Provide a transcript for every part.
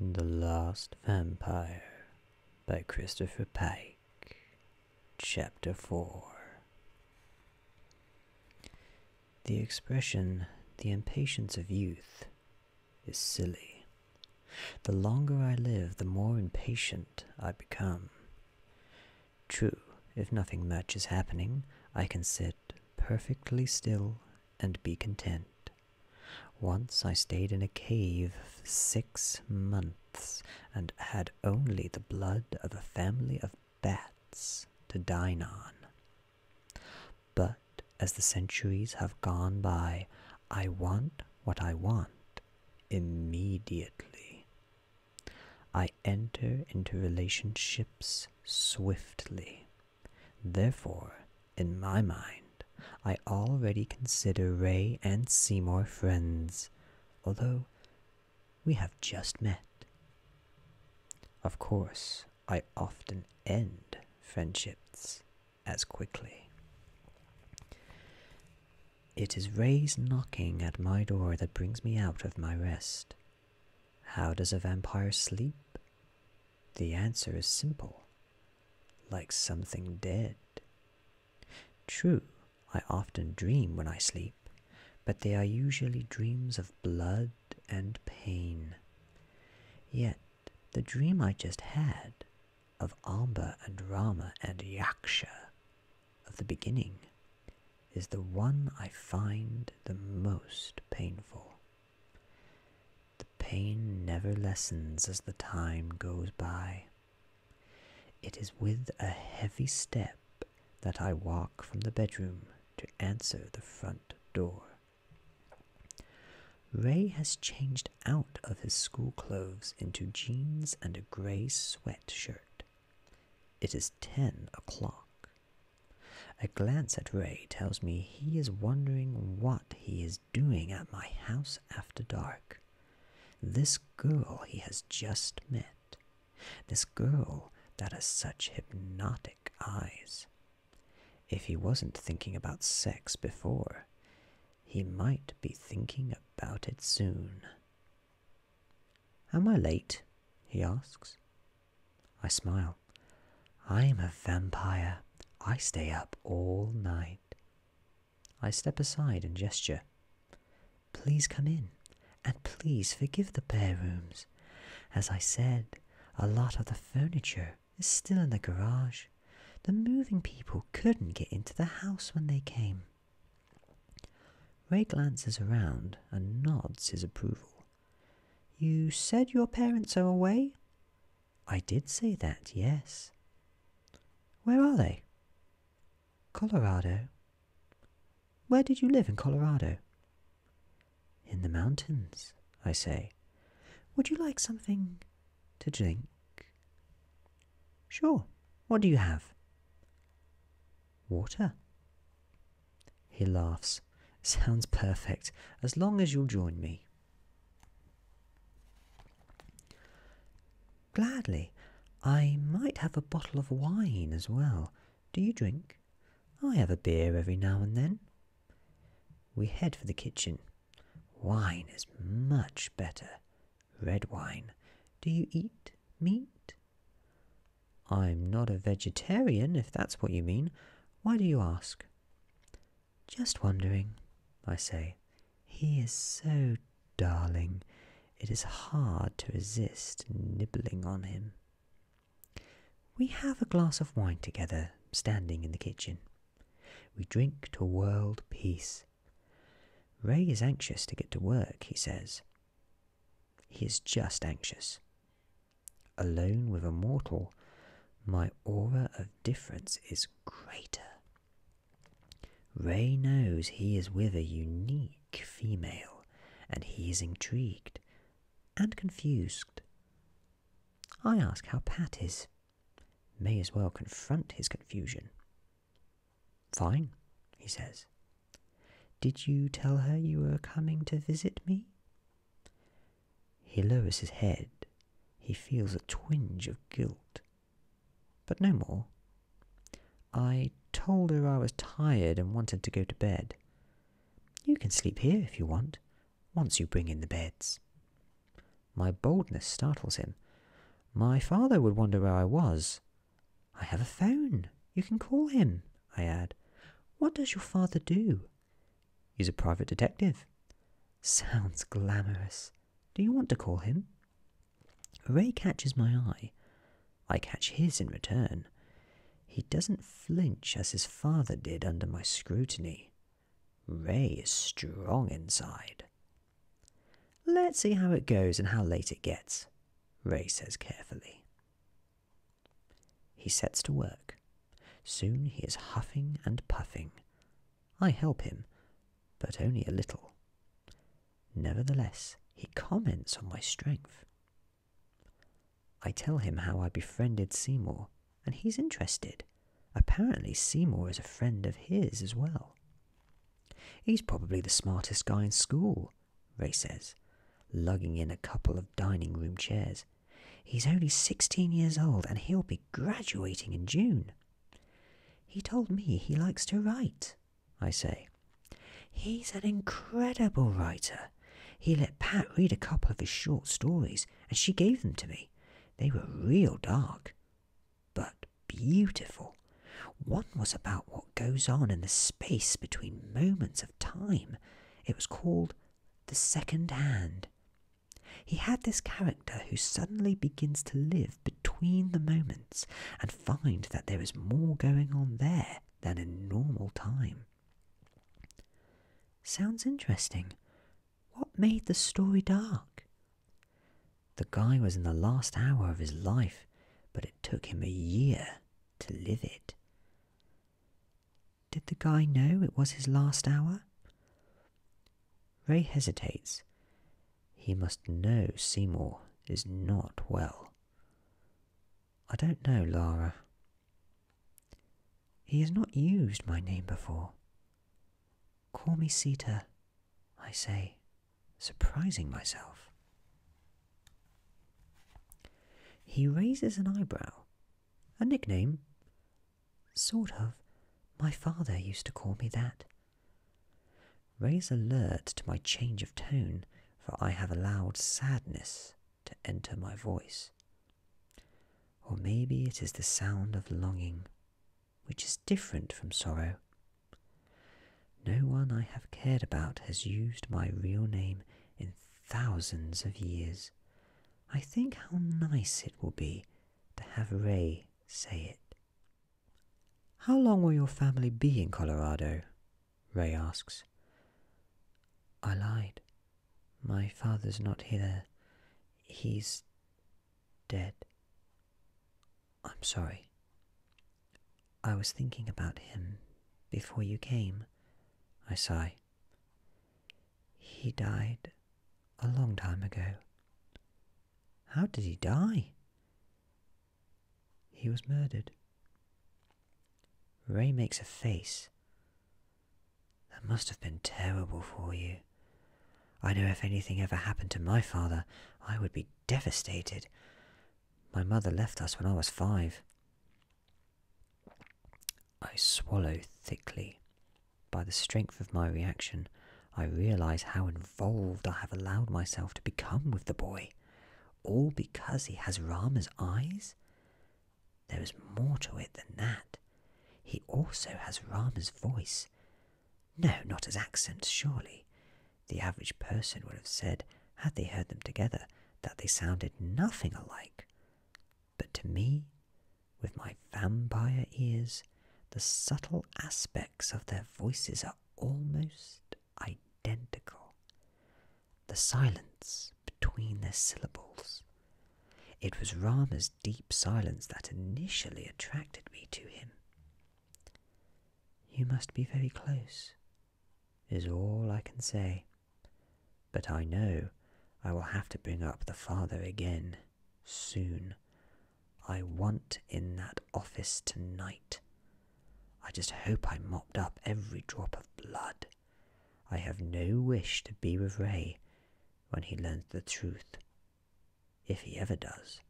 The Last Vampire by Christopher Pike, Chapter 4. The expression, the impatience of youth, is silly. The longer I live, the more impatient I become. True, if nothing much is happening, I can sit perfectly still and be content. Once I stayed in a cave six months and had only the blood of a family of bats to dine on. But as the centuries have gone by, I want what I want immediately. I enter into relationships swiftly. Therefore, in my mind, I already consider Ray and Seymour friends, although we have just met. Of course, I often end friendships as quickly. It is Ray's knocking at my door that brings me out of my rest. How does a vampire sleep? The answer is simple like something dead. True, I often dream when I sleep, but they are usually dreams of blood and pain. Yet, the dream I just had of Amba and Rama and Yaksha of the beginning is the one I find the most painful. The pain never lessens as the time goes by. It is with a heavy step that I walk from the bedroom to answer the front door. Ray has changed out of his school clothes into jeans and a gray sweatshirt. It is ten o'clock. A glance at Ray tells me he is wondering what he is doing at my house after dark. This girl he has just met. This girl that has such hypnotic eyes. If he wasn't thinking about sex before, he might be thinking about it soon. Am I late? he asks. I smile. I'm a vampire. I stay up all night. I step aside and gesture. Please come in, and please forgive the bare rooms. As I said, a lot of the furniture is still in the garage. The moving people couldn't get into the house when they came. Ray glances around and nods his approval. You said your parents are away? I did say that, yes. Where are they? Colorado. Where did you live in Colorado? In the mountains, I say. Would you like something to drink? Sure. What do you have? Water? He laughs. Sounds perfect, as long as you'll join me. Gladly. I might have a bottle of wine as well. Do you drink? I have a beer every now and then. We head for the kitchen. Wine is much better. Red wine. Do you eat meat? I'm not a vegetarian, if that's what you mean. Why do you ask? Just wondering, I say. He is so darling. It is hard to resist nibbling on him. We have a glass of wine together, standing in the kitchen. We drink to world peace. Ray is anxious to get to work, he says. He is just anxious. Alone with a mortal, my aura of difference is greater. Ray knows he is with a unique female, and he is intrigued and confused. I ask how Pat is. May as well confront his confusion. Fine, he says. Did you tell her you were coming to visit me? He lowers his head. He feels a twinge of guilt. But no more. I told her I was tired and wanted to go to bed. You can sleep here if you want, once you bring in the beds. My boldness startles him. My father would wonder where I was, I have a phone. You can call him, I add. What does your father do? He's a private detective. Sounds glamorous. Do you want to call him? Ray catches my eye. I catch his in return. He doesn't flinch as his father did under my scrutiny. Ray is strong inside. Let's see how it goes and how late it gets, Ray says carefully. He sets to work. Soon he is huffing and puffing. I help him, but only a little. Nevertheless, he comments on my strength. I tell him how I befriended Seymour, and he's interested. Apparently, Seymour is a friend of his as well. He's probably the smartest guy in school, Ray says, lugging in a couple of dining room chairs. He's only 16 years old and he'll be graduating in June. He told me he likes to write, I say. He's an incredible writer. He let Pat read a couple of his short stories, and she gave them to me. They were real dark but beautiful. One was about what goes on in the space between moments of time. It was called The Second Hand. He had this character who suddenly begins to live between the moments and finds that there is more going on there than in normal time. Sounds interesting. What made the story dark? The guy was in the last hour of his life, but it took him a year to live it. Did the guy know it was his last hour? Ray hesitates. He must know Seymour is not well. I don't know, Lara. He has not used my name before. Call me Sita, I say, surprising myself. He raises an eyebrow, a nickname. Sort of. My father used to call me that. Ray's alert to my change of tone, for I have allowed sadness to enter my voice. Or maybe it is the sound of longing, which is different from sorrow. No one I have cared about has used my real name in thousands of years. I think how nice it will be to have Ray say it. How long will your family be in Colorado? Ray asks. I lied. My father's not here. He's dead. I'm sorry. I was thinking about him before you came, I sigh. He died a long time ago. How did he die? He was murdered. Ray makes a face. That must have been terrible for you. I know if anything ever happened to my father, I would be devastated. My mother left us when I was five. I swallow thickly. By the strength of my reaction, I realize how involved I have allowed myself to become with the boy, all because he has Rama's eyes. There is more to it than that. He also has Rama's voice, no, not as accents, surely. The average person would have said, had they heard them together, that they sounded nothing alike. But to me, with my vampire ears, the subtle aspects of their voices are almost identical. The silence between their syllables. It was Rama's deep silence that initially attracted me to him. You must be very close, is all I can say. But I know I will have to bring up the father again, soon. I want in that office tonight. I just hope I mopped up every drop of blood. I have no wish to be with Ray when he learns the truth if he ever does.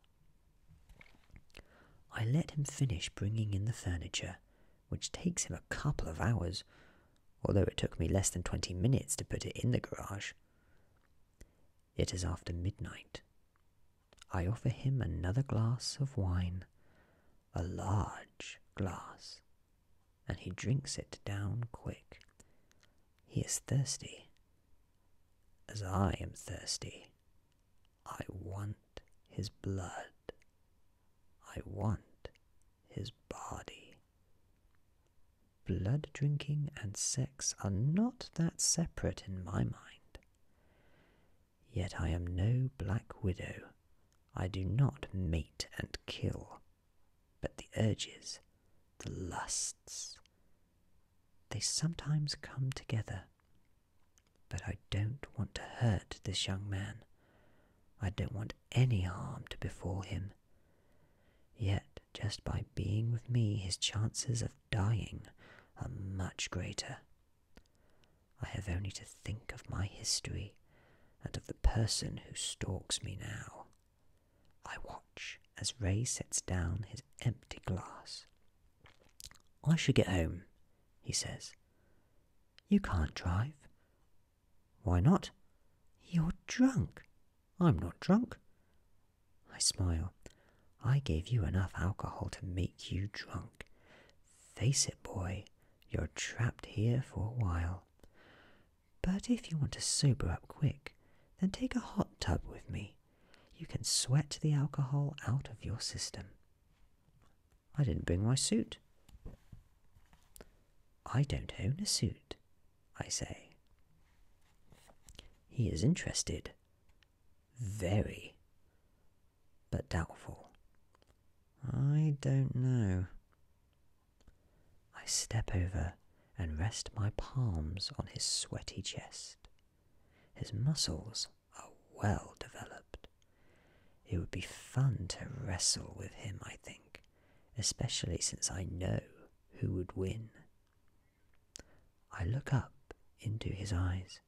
I let him finish bringing in the furniture, which takes him a couple of hours, although it took me less than twenty minutes to put it in the garage. It is after midnight. I offer him another glass of wine, a large glass, and he drinks it down quick, he is thirsty. As I am thirsty, I want his blood. I want his body. Blood drinking and sex are not that separate in my mind. Yet I am no black widow. I do not mate and kill, but the urges, the lusts, they sometimes come together. But I don't want to hurt this young man. I don't want any harm to befall him. Yet, just by being with me, his chances of dying are much greater. I have only to think of my history and of the person who stalks me now. I watch as Ray sets down his empty glass. I should get home, he says. You can't drive. Why not? You're drunk. I'm not drunk. I smile. I gave you enough alcohol to make you drunk. Face it, boy, you're trapped here for a while. But if you want to sober up quick, then take a hot tub with me. You can sweat the alcohol out of your system. I didn't bring my suit. I don't own a suit, I say. He is interested, very, but doubtful. I don't know. I step over and rest my palms on his sweaty chest. His muscles are well developed. It would be fun to wrestle with him, I think, especially since I know who would win. I look up into his eyes.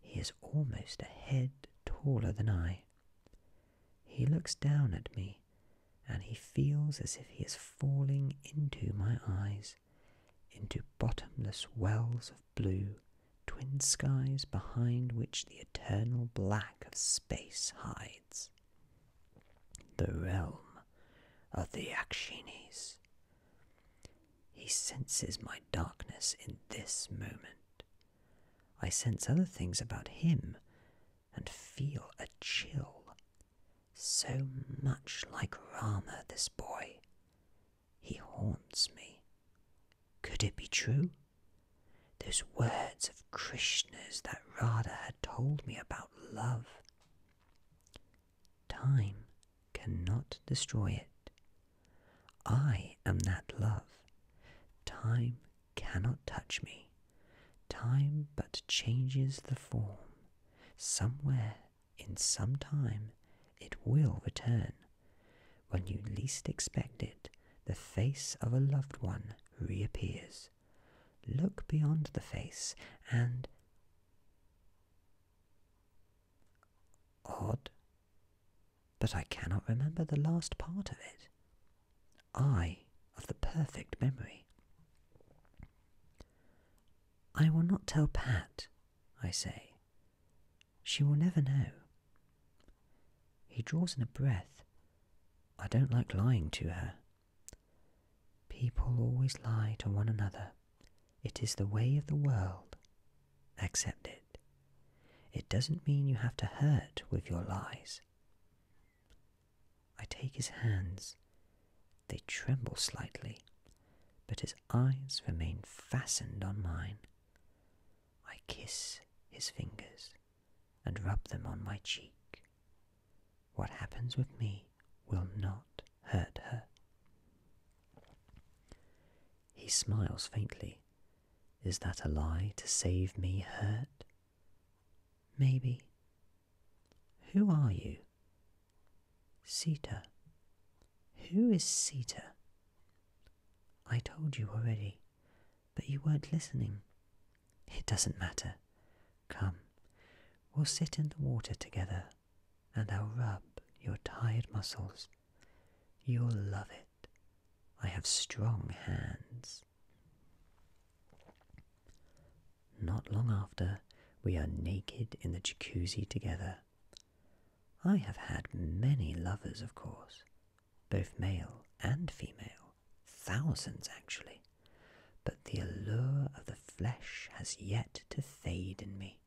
He is almost a head taller than I. He looks down at me, and he feels as if he is falling into my eyes into bottomless wells of blue, twin skies behind which the eternal black of space hides. The realm of the Akshinis. He senses my darkness in this moment. I sense other things about him and feel a chill so much like Rama, this boy. He haunts me. Could it be true? Those words of Krishna's that Rada had told me about love. Time cannot destroy it. I am that love. Time cannot touch me. Time but changes the form, Somewhere, in some time, it will return. When you least expect it, the face of a loved one reappears. Look beyond the face and. Odd. But I cannot remember the last part of it. I of the perfect memory. I will not tell Pat, I say. She will never know. He draws in a breath. I don't like lying to her. People always lie to one another. It is the way of the world. Accept it. It doesn't mean you have to hurt with your lies. I take his hands. They tremble slightly, but his eyes remain fastened on mine. I kiss his fingers and rub them on my cheek. What happens with me will not hurt her. He smiles faintly. Is that a lie to save me hurt? Maybe. Who are you? Sita. Who is Sita? I told you already, but you weren't listening. It doesn't matter. Come, we'll sit in the water together, and I'll rub your tired muscles. You'll love it. I have strong hands. Not long after, we are naked in the jacuzzi together. I have had many lovers, of course, both male and female, thousands actually, but the allure of the flesh has yet to fade in me.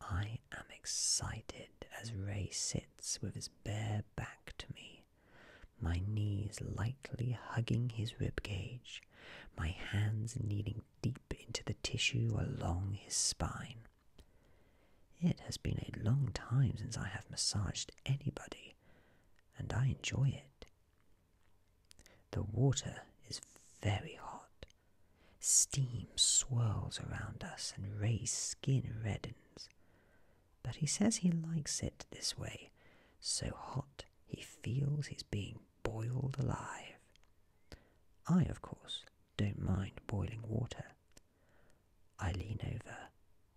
I am excited as Ray sits with his bare back to me, my knees lightly hugging his rib cage, my hands kneading deep into the tissue along his spine. It has been a long time since I have massaged anybody, and I enjoy it. The water is very hot. Steam swirls around us, and Ray's skin reddens. But he says he likes it this way so hot he feels he's being boiled alive. I, of course, don't mind boiling water. I lean over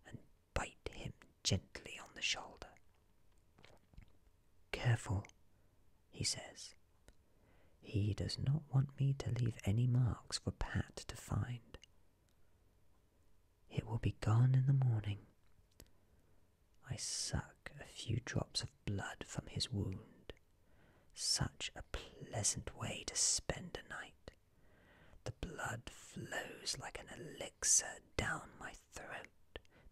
and bite him gently on the shoulder. Careful, he says. He does not want me to leave any marks for Pat to find. It will be gone in the morning. I suck a few drops of blood from his wound. Such a pleasant way to spend a night. The blood flows like an elixir down my throat,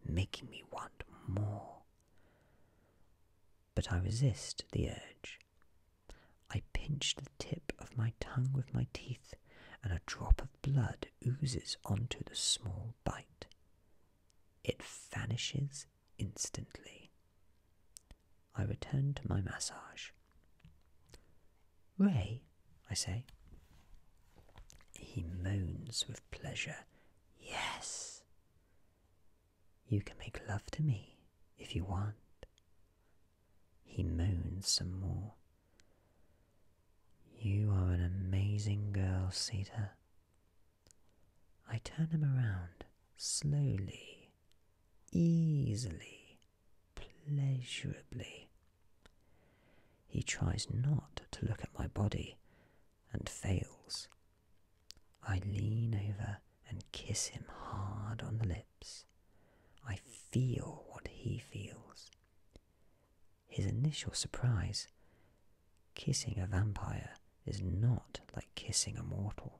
making me want more. But I resist the urge. I pinch the tip of my tongue with my teeth, and a drop of blood oozes onto the small bite. It vanishes instantly. I return to my massage. Ray, I say. He moans with pleasure. Yes! You can make love to me if you want. He moans some more. You are an amazing girl, Sita. I turn him around slowly, easily, pleasurably. He tries not to look at my body and fails. I lean over and kiss him hard on the lips. I feel what he feels. His initial surprise kissing a vampire is not like kissing a mortal.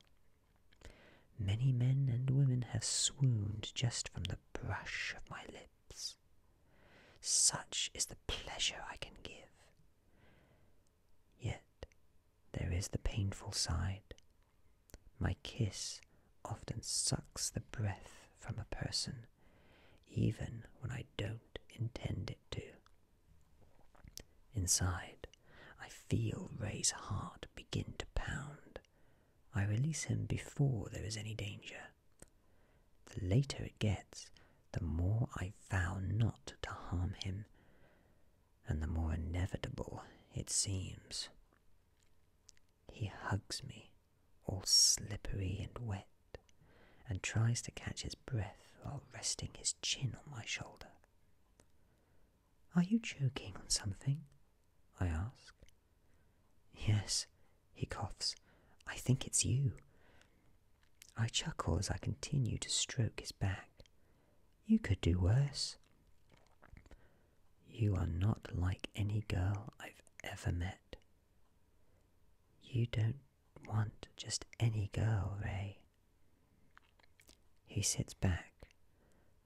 Many men and women have swooned just from the brush of my lips. Such is the pleasure I can give. Yet there is the painful side. My kiss often sucks the breath from a person even when I don't intend it to. Inside, I feel Ray's heart begin to pound. I release him before there is any danger. The later it gets, the more I vow not to harm him, and the more inevitable it seems. He hugs me all slippery and wet, and tries to catch his breath while resting his chin on my shoulder. Are you choking on something? I ask. Yes, he coughs. I think it's you. I chuckle as I continue to stroke his back. You could do worse. You are not like any girl I've ever met, you don't want just any girl, Ray. He sits back,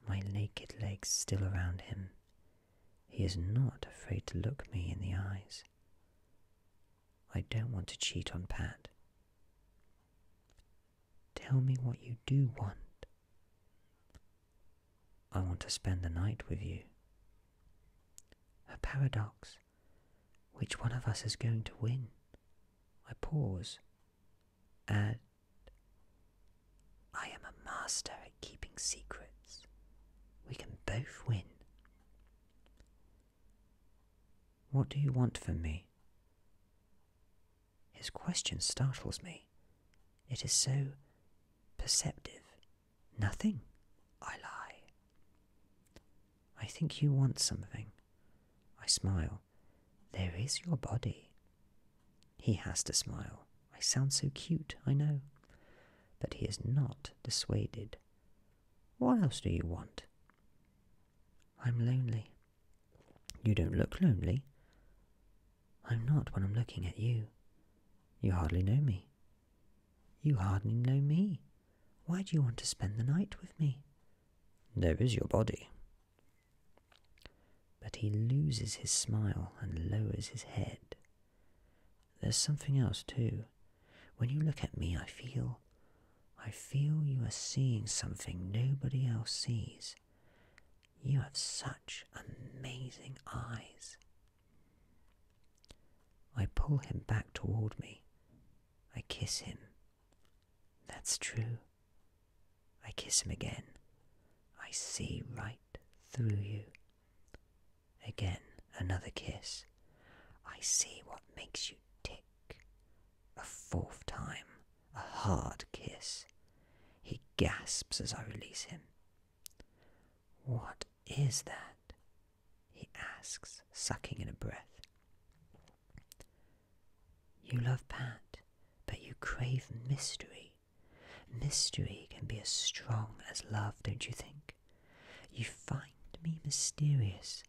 my naked legs still around him. He is not afraid to look me in the eyes. I don't want to cheat on Pat. Tell me what you do want. I want to spend the night with you. A paradox. Which one of us is going to win? I pause. And I am a master at keeping secrets. We can both win. What do you want from me? His question startles me. It is so perceptive Nothing, I lie. I think you want something. I smile. There is your body. He has to smile. I sound so cute, I know. But he is not dissuaded. What else do you want? I'm lonely. You don't look lonely. I'm not when I'm looking at you. You hardly know me. You hardly know me. Why do you want to spend the night with me? There is your body. But he loses his smile and lowers his head. There's something else, too. When you look at me, I feel. I feel you are seeing something nobody else sees. You have such amazing eyes. I pull him back toward me. I kiss him. That's true. I kiss him again. I see right through you. Again, another kiss. I see what makes you tick. A fourth time, a hard kiss. He gasps as I release him. What is that? he asks, sucking in a breath. You love Pat, but you crave mystery. Mystery can be as strong as love, don't you think? You find me mysterious,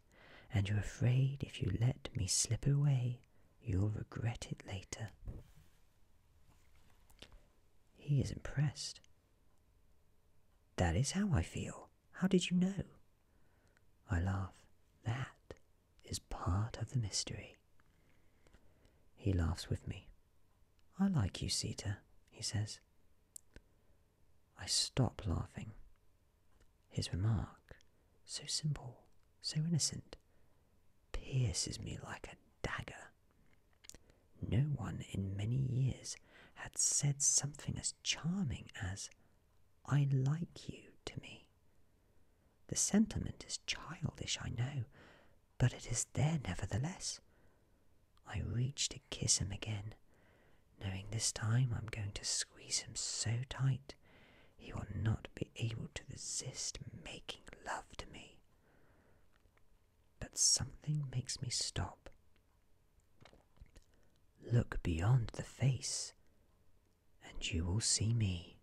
and you're afraid if you let me slip away, you'll regret it later. He is impressed. That is how I feel. How did you know? I laugh. That is part of the mystery. He laughs with me. I like you, Sita, he says. I stop laughing. His remark, so simple, so innocent, pierces me like a dagger. No one in many years had said something as charming as, I like you to me. The sentiment is childish, I know, but it is there nevertheless. I reach to kiss him again, knowing this time I'm going to squeeze him so tight he will not be able to resist making love to me but something makes me stop. Look beyond the face, and you will see me.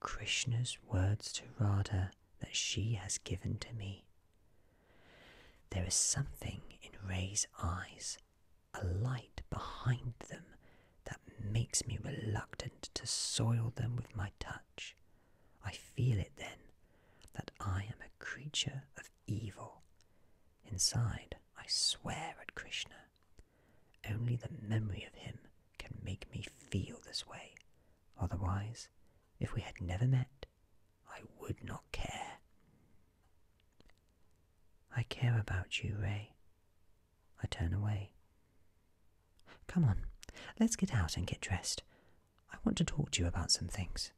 Krishna's words to Radha that she has given to me. There is something in Ray's eyes, a light behind them that makes me reluctant to soil them with my touch. I feel it then, that I am a creature of evil. Inside, I swear at Krishna. Only the memory of him can make me feel this way. Otherwise, if we had never met, I would not care. I care about you, Ray. I turn away. Come on, let's get out and get dressed. I want to talk to you about some things.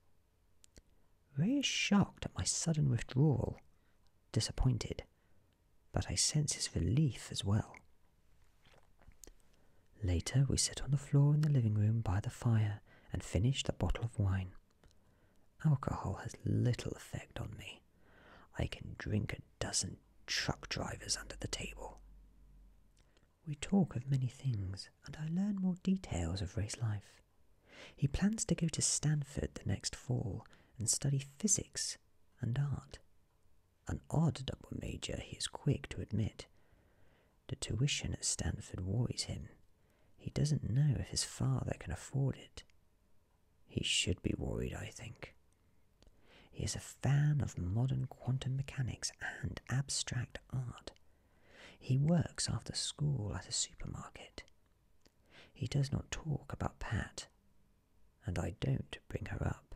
Ray is shocked at my sudden withdrawal, disappointed, but I sense his relief as well. Later, we sit on the floor in the living room by the fire and finish the bottle of wine. Alcohol has little effect on me. I can drink a dozen truck drivers under the table. We talk of many things, and I learn more details of race life. He plans to go to Stanford the next fall and study physics and art. An odd double major, he is quick to admit. The tuition at Stanford worries him. He doesn't know if his father can afford it. He should be worried, I think. He is a fan of modern quantum mechanics and abstract art. He works after school at a supermarket. He does not talk about Pat, and I don't bring her up.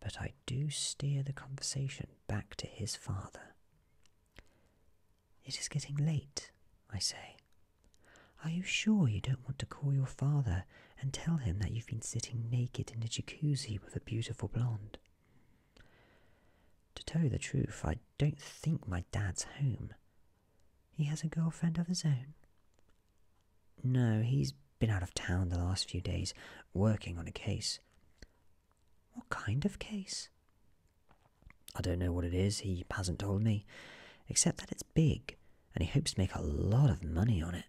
But I do steer the conversation back to his father. It is getting late, I say. Are you sure you don't want to call your father and tell him that you've been sitting naked in a jacuzzi with a beautiful blonde. To tell you the truth, I don't think my dad's home. He has a girlfriend of his own. No, he's been out of town the last few days, working on a case. What kind of case? I don't know what it is, he hasn't told me, except that it's big, and he hopes to make a lot of money on it.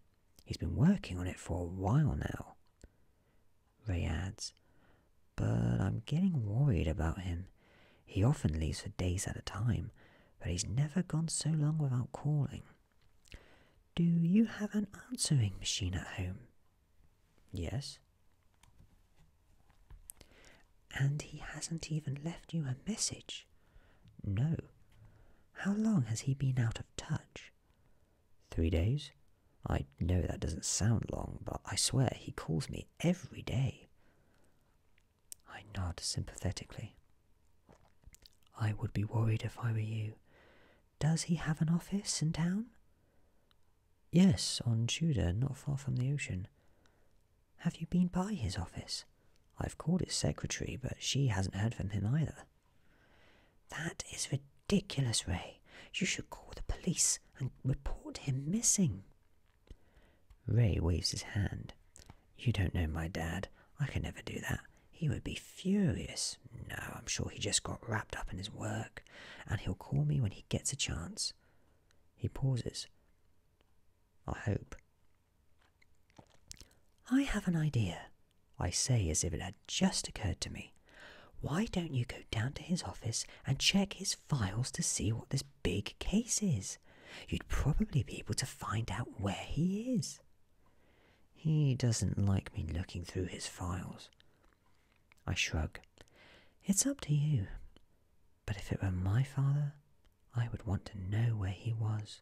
He's been working on it for a while now. Ray adds, But I'm getting worried about him. He often leaves for days at a time, but he's never gone so long without calling. Do you have an answering machine at home? Yes. And he hasn't even left you a message. No. How long has he been out of touch? Three days? I know that doesn't sound long, but I swear he calls me every day. I nod sympathetically. I would be worried if I were you. Does he have an office in town? Yes, on Tudor, not far from the ocean. Have you been by his office? I've called his secretary, but she hasn't heard from him either. That is ridiculous, Ray. You should call the police and report him missing. Ray waves his hand. You don't know my dad. I could never do that. He would be furious. No, I'm sure he just got wrapped up in his work, and he'll call me when he gets a chance. He pauses. I hope. I have an idea, I say as if it had just occurred to me. Why don't you go down to his office and check his files to see what this big case is? You'd probably be able to find out where he is. He doesn't like me looking through his files. I shrug. It's up to you. But if it were my father, I would want to know where he was.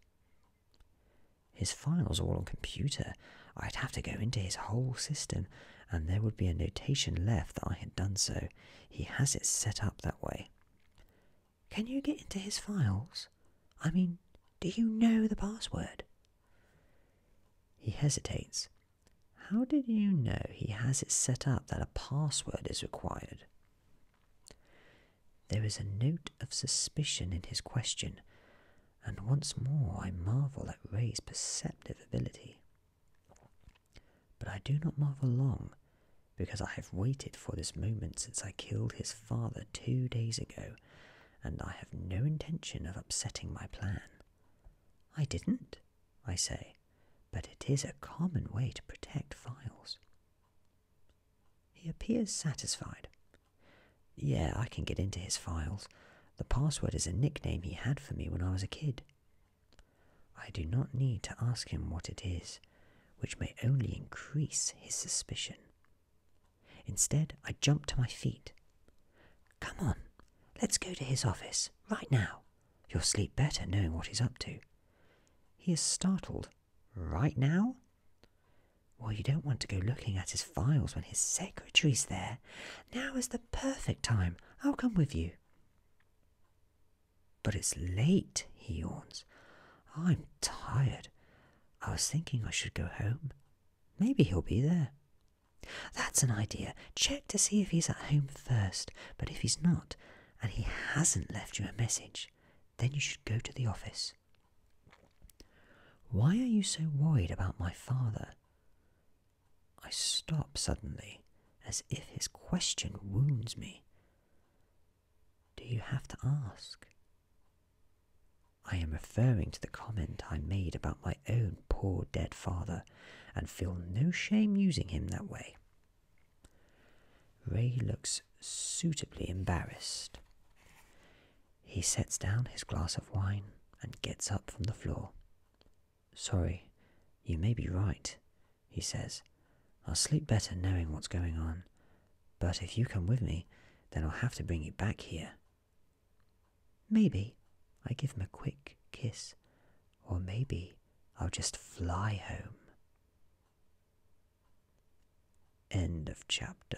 His files are all on computer. I'd have to go into his whole system, and there would be a notation left that I had done so. He has it set up that way. Can you get into his files? I mean, do you know the password? He hesitates. How did you know he has it set up that a password is required? There is a note of suspicion in his question, and once more I marvel at Ray's perceptive ability. But I do not marvel long, because I have waited for this moment since I killed his father two days ago, and I have no intention of upsetting my plan. I didn't, I say, but it is a common way to protect files. He appears satisfied. Yeah, I can get into his files. The password is a nickname he had for me when I was a kid. I do not need to ask him what it is, which may only increase his suspicion. Instead, I jump to my feet. Come on, let's go to his office, right now. You'll sleep better knowing what he's up to. He is startled Right now? Well, you don't want to go looking at his files when his secretary's there. Now is the perfect time. I'll come with you. But it's late, he yawns. I'm tired. I was thinking I should go home. Maybe he'll be there. That's an idea. Check to see if he's at home first, but if he's not, and he hasn't left you a message, then you should go to the office. Why are you so worried about my father? I stop suddenly, as if his question wounds me. Do you have to ask? I am referring to the comment I made about my own poor dead father, and feel no shame using him that way. Ray looks suitably embarrassed. He sets down his glass of wine and gets up from the floor. Sorry, you may be right, he says. I'll sleep better knowing what's going on. But if you come with me, then I'll have to bring you back here. Maybe I give him a quick kiss, or maybe I'll just fly home. End of chapter.